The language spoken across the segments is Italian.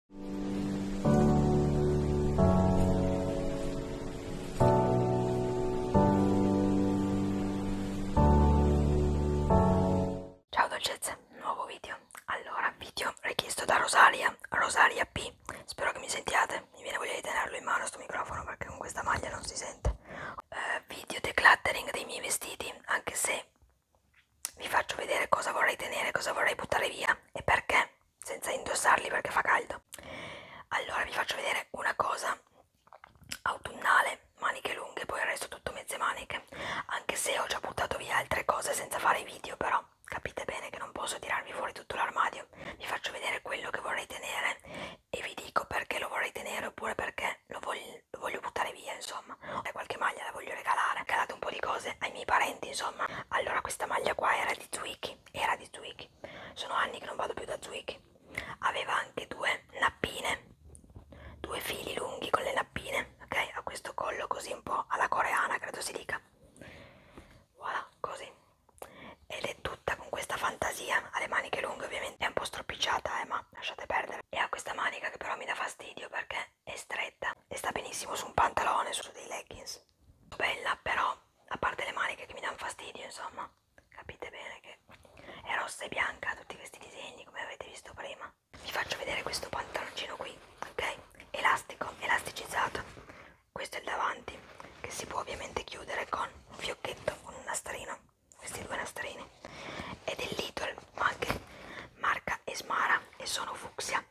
Ciao dolcezze, nuovo video. Allora, video richiesto da Rosalia, Rosalia P. Spero che mi sentiate. Mi viene voglia di tenerlo in mano sto microfono perché con questa maglia non si sente. Uh, video decluttering dei miei vestiti, anche se vi faccio vedere cosa vorrei tenere, cosa vorrei buttare via e perché, senza indossarli perché fa caldo. Allora vi faccio vedere una cosa autunnale, maniche lunghe, poi il resto tutto mezze maniche, anche se ho già buttato via altre cose senza fare video però capite bene che non posso tirarvi fuori tutto l'armadio. Vi faccio vedere quello che vorrei tenere e vi dico perché lo vorrei tenere oppure perché lo voglio, lo voglio buttare via, insomma insomma e qualche maglia la voglio regalare ho regalato un po' di cose ai miei parenti insomma allora questa maglia qua era di Zwicky era di Zwicky sono anni che non vado più da Zwicky aveva anche due nappine due fili lunghi con le nappine ok a questo collo così un po' alla coreana credo si dica voilà così ed è tutta con questa fantasia ha le maniche lunghe ovviamente è un po' stropicciata eh ma lasciate perdere e ha questa manica che però mi dà fastidio perché è stretta e sta benissimo su un pantalone, su dei leggings. Bella però, a parte le maniche che mi danno fastidio, insomma, capite bene che è rossa e bianca tutti questi disegni, come avete visto prima. Vi faccio vedere questo pantaloncino qui, ok? Elastico, elasticizzato. Questo è il davanti, che si può ovviamente chiudere con un fiocchetto, con un nastrino, questi due nastrini. Ed è Little anche marca Esmara e sono fucsia,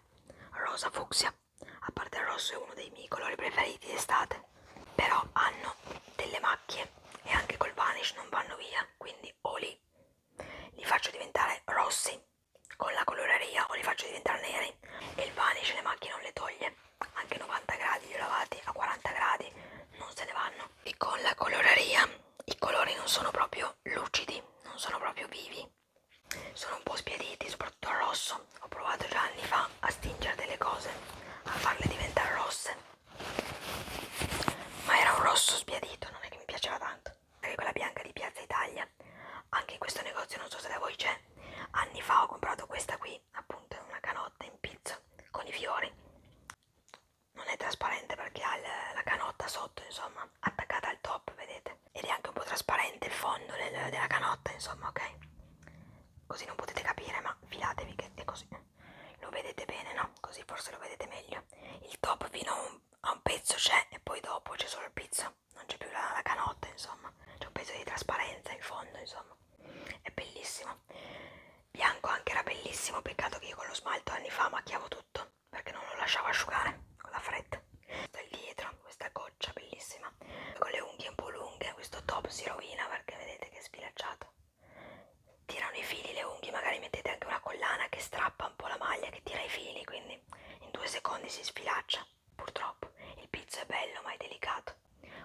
rosa fucsia, a parte il rosso è uno dei miei colori preferiti d'estate, però hanno delle macchie e anche col vanish non vanno via, quindi o li, li faccio diventare rossi con la coloreria o li faccio diventare neri e il vanish le macchie non le toglie, anche 90 gradi li lavati a 40 gradi non se ne vanno e con la coloreria i colori non sono proprio proprio lucidi, non sono proprio vivi. Sono un po' spiaditi, soprattutto al rosso. Ho provato già anni fa a stingere delle cose, a farle diventare rosse. Ma era un rosso spiadito, non è che mi piaceva tanto. Anche quella bianca di Piazza Italia, anche in questo negozio, non so se da voi c'è. Anni fa ho comprato questa qui, appunto, una canotta in pizza con i fiori non è trasparente perché ha la canotta sotto insomma attaccata al top vedete ed è anche un po' trasparente il fondo del, della canotta insomma ok così non potete capire ma filatevi che è così lo vedete bene no così forse lo vedete meglio il top fino a un, a un pezzo c'è e poi dopo c'è solo il pizzo non c'è più la, la canotta insomma c'è un pezzo di trasparenza in fondo insomma è bellissimo bianco anche era bellissimo peccato che io con lo smalto anni fa macchiavo tutto perché non lo lasciavo asciugare con la fretta questo è dietro questa goccia bellissima con le unghie un po' lunghe questo top si rovina perché vedete che è sfilacciato tirano i fili le unghie magari mettete anche una collana che strappa un po' la maglia che tira i fili quindi in due secondi si sfilaccia purtroppo il pizzo è bello ma è delicato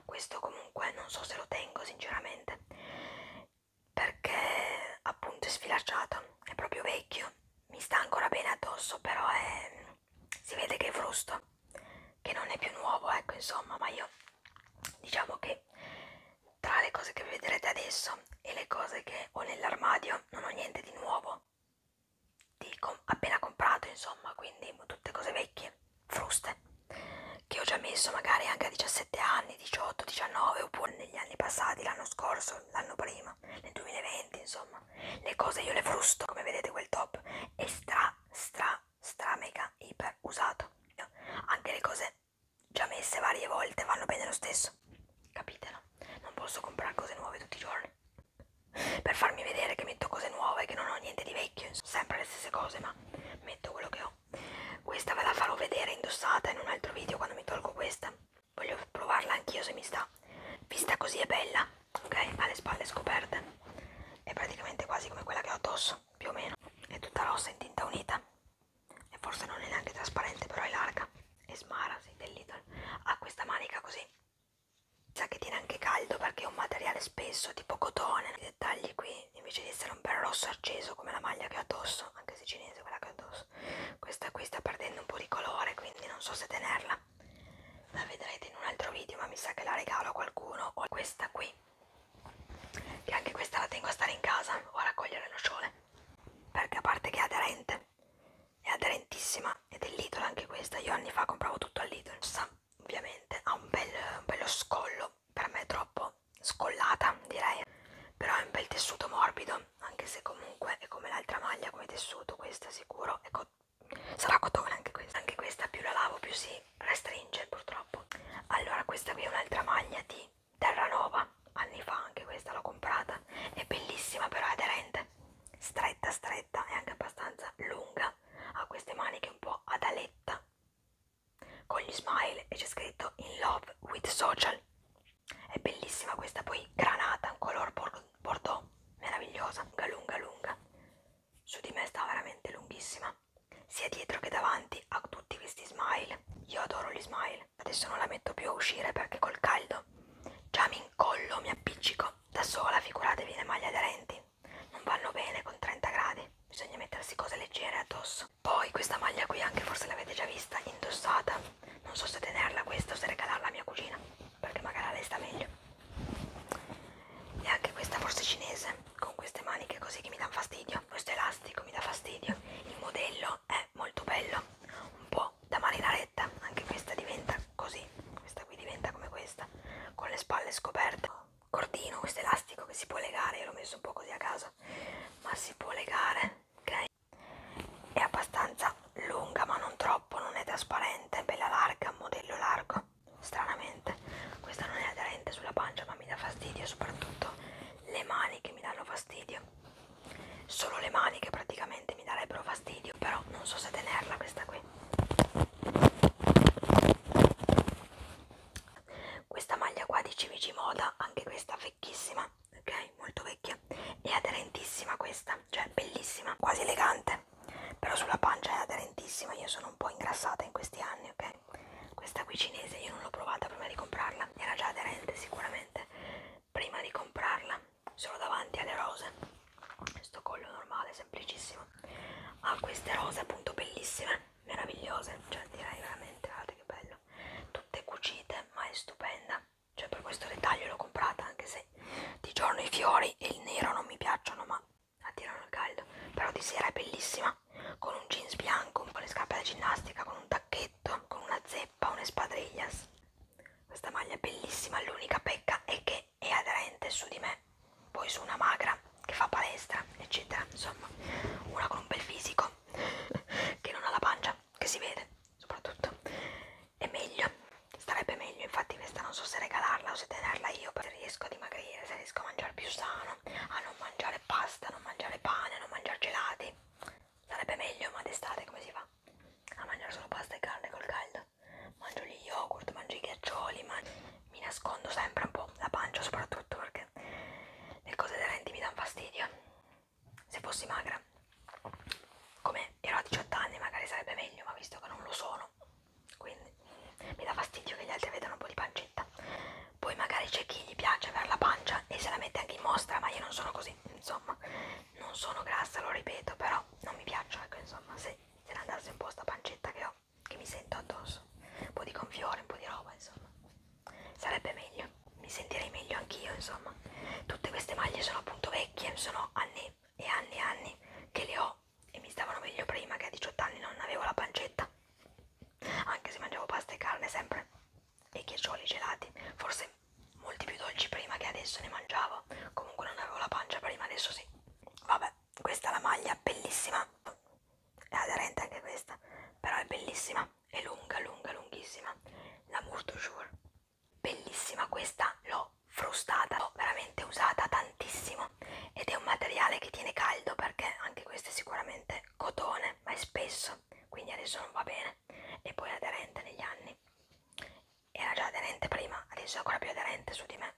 questo comunque non so se lo tengo sinceramente perché appunto è sfilacciato, è proprio vecchio, mi sta ancora bene addosso, però è, si vede che è frusto, che non è più nuovo, ecco insomma, ma io diciamo che tra le cose che vedrete adesso e le cose che ho nell'armadio non ho niente di nuovo, di com appena comprato insomma, quindi tutte cose vecchie, fruste che ho già messo magari anche a 17 anni, 18, 19 oppure negli anni passati, l'anno scorso, l'anno prima, nel 2020 insomma, le cose io le frusto, come vedete quel top è stra, stra, stra mega iper usato, anche le cose già messe varie volte vanno bene lo stesso, capitelo, non posso comprare cose nuove tutti i giorni per farmi vedere che metto cose nuove, che non ho niente di vecchio, insomma. sempre le stesse cose ma metto quello che ho questa ve la farò vedere indossata in un altro video quando mi tolgo questa voglio provarla anch'io se mi sta vista così è bella ok ha le spalle scoperte è praticamente quasi come quella che ho addosso più o meno è tutta rossa in tinta unita e forse non è neanche trasparente però è larga e smara sì, del Lidl ha questa manica così sa che tiene anche caldo perché è un materiale spesso tipo cotone dettagli qui invece di essere un bel rosso acceso come la maglia che ho addosso anche se cinese quella che ho addosso questa qui sta perdendo un po' di colore quindi non so se tenerla la vedrete in un altro video ma mi sa che la regalo a qualcuno o questa qui che anche questa la tengo a stare in casa o a raccogliere nocciole perché a parte che è aderente è aderentissima ed è Lidl anche questa io anni fa compravo tutto al Lidl ovviamente ha un bel, un bello scollo tessuto per me è troppo scollata direi però è un bel tessuto morbido anche se comunque è come l'altra maglia come tessuto questa sicuro è co sarà cotone anche questa anche questa più la lavo più si restringe purtroppo allora questa qui è un'altra maglia di Terranova anni fa anche questa l'ho comprata è bellissima però è aderente stretta stretta e anche abbastanza lunga ha queste maniche un po' ad aletta con gli smile e c'è scritto in love with social è bellissima questa poi granata un color bordeaux meravigliosa lunga lunga lunga su di me sta veramente lunghissima sia dietro che davanti a tutti questi smile io adoro gli smile adesso non la metto più a uscire perché col caldo già mi incollo mi appiccico da sola figuratevi le maglie aderenti non vanno bene con 30 gradi bisogna mettersi cose leggere addosso poi questa maglia qui anche forse l'avete già vista indossata non so se tenerla questa o se regalarla a mia cugina perché magari a lei sta meglio e anche questa forse cinese con queste maniche così che mi danno fastidio questo elastico mi dà fastidio il modello è molto bello un po' da marinaretta anche questa diventa così questa qui diventa come questa con le spalle scoperte cordino, questo elastico che si può legare, io l'ho messo un po' così a caso, ma si può legare, ok? È abbastanza lunga ma non troppo, non è trasparente, è bella larga, modello largo, stranamente. Questa non è aderente sulla pancia ma mi dà fastidio, soprattutto le maniche mi danno fastidio. Solo le maniche praticamente mi darebbero fastidio, però non so se tenerla questa qui questa maglia qua di CVG Moda anche questa vecchissima ok molto vecchia è aderentissima questa cioè bellissima quasi elegante però sulla pancia è aderentissima io sono un po' ingrassata in questi anni ok questa qui cinese io non l'ho provata prima di comprarla era già aderente sicuramente prima di comprarla solo davanti alle rose questo collo normale semplicissimo ha queste rose appunto bellissime meravigliose cioè direi veramente guardate che bello tutte cucite ma è stupenda cioè per questo dettaglio l'ho comprata anche se di giorno i fiori e il nero non mi piacciono ma attirano il caldo però di sera è bellissima con un jeans bianco con le scarpe da ginnastica con un tacchetto con una zeppa un'espadriglia questa maglia è bellissima l'unica pecca è che che è aderente su di me, poi su una magra che fa palestra, eccetera, insomma, una con un bel fisico che non ha la pancia, che si vede soprattutto, è meglio, starebbe meglio, infatti questa non so se regalarla o se tenerla io, se riesco a dimagrire, se riesco a mangiare più sano, a non mangiare pasta, non mangiare pane, non mangiare gelati, sarebbe meglio, ma d'estate come si fa? A mangiare solo pasta e carne col caldo? mangio gli yogurt, mangio i ghiaccioli, mangio... mi nascondo sempre un po' la pancia soprattutto perché le cose aderenti mi danno fastidio. Se fossi magra, come ero a 18 anni magari sarebbe meglio, ma visto che non lo sono, quindi mi dà fastidio che gli altri vedano un po' di pancetta. Poi magari c'è chi gli piace avere la pancia e se la mette anche in mostra, ma io non sono così, insomma non sono grassa, lo ripeto, però non mi piacciono, ecco insomma, se, se ne andasse un po' sta pancetta che ho, che mi sento addosso, un po' di gonfiore, un po' di roba, insomma, sarebbe meglio, mi sentirei meglio anch'io, insomma, tutte queste maglie sono appunto vecchie, sono anni e anni e anni che le ho e mi stavano meglio prima che a 18 anni non avevo la pancetta, anche se mangiavo pasta e carne sempre e chiaccioli gelati, forse molti più dolci prima che adesso ne mangiavo comunque non avevo la pancia prima adesso sì vabbè questa è la maglia bellissima è aderente anche questa però è bellissima è lunga lunga lunghissima la Murtusure bellissima questa l'ho frustata l'ho veramente usata tantissimo ed è un materiale che tiene caldo perché anche questo è sicuramente cotone ma è spesso quindi adesso non va bene e poi aderente negli anni era già aderente prima adesso è ancora più aderente su di me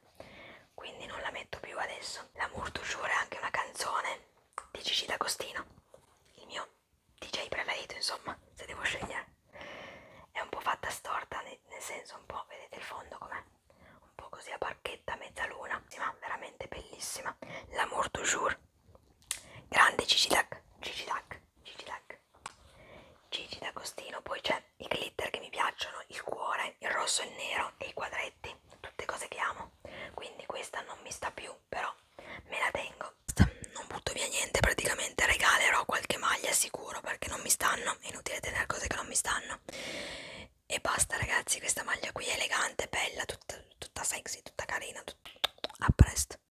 quindi non la metto più adesso l'amour toujours è anche una canzone di Gigi D'Agostino il mio DJ preferito insomma se devo scegliere è un po' fatta storta nel senso un po' vedete il fondo com'è un po' così a barchetta mezzaluna ma veramente bellissima l'amour toujours grande Gigi D'Ag Gigi D'Ag Gigi D'Ag Clinique Gigi D'Agostino poi c'è i glitter che mi piacciono il cuore, il rosso, il nero e i quadretti tutte cose che amo quindi questa non mi sta più però me la tengo non butto via niente praticamente regalerò qualche maglia sicuro perché non mi stanno è inutile tenere cose che non mi stanno e basta ragazzi questa maglia qui è elegante, bella, tutta, tutta sexy, tutta carina tut... a presto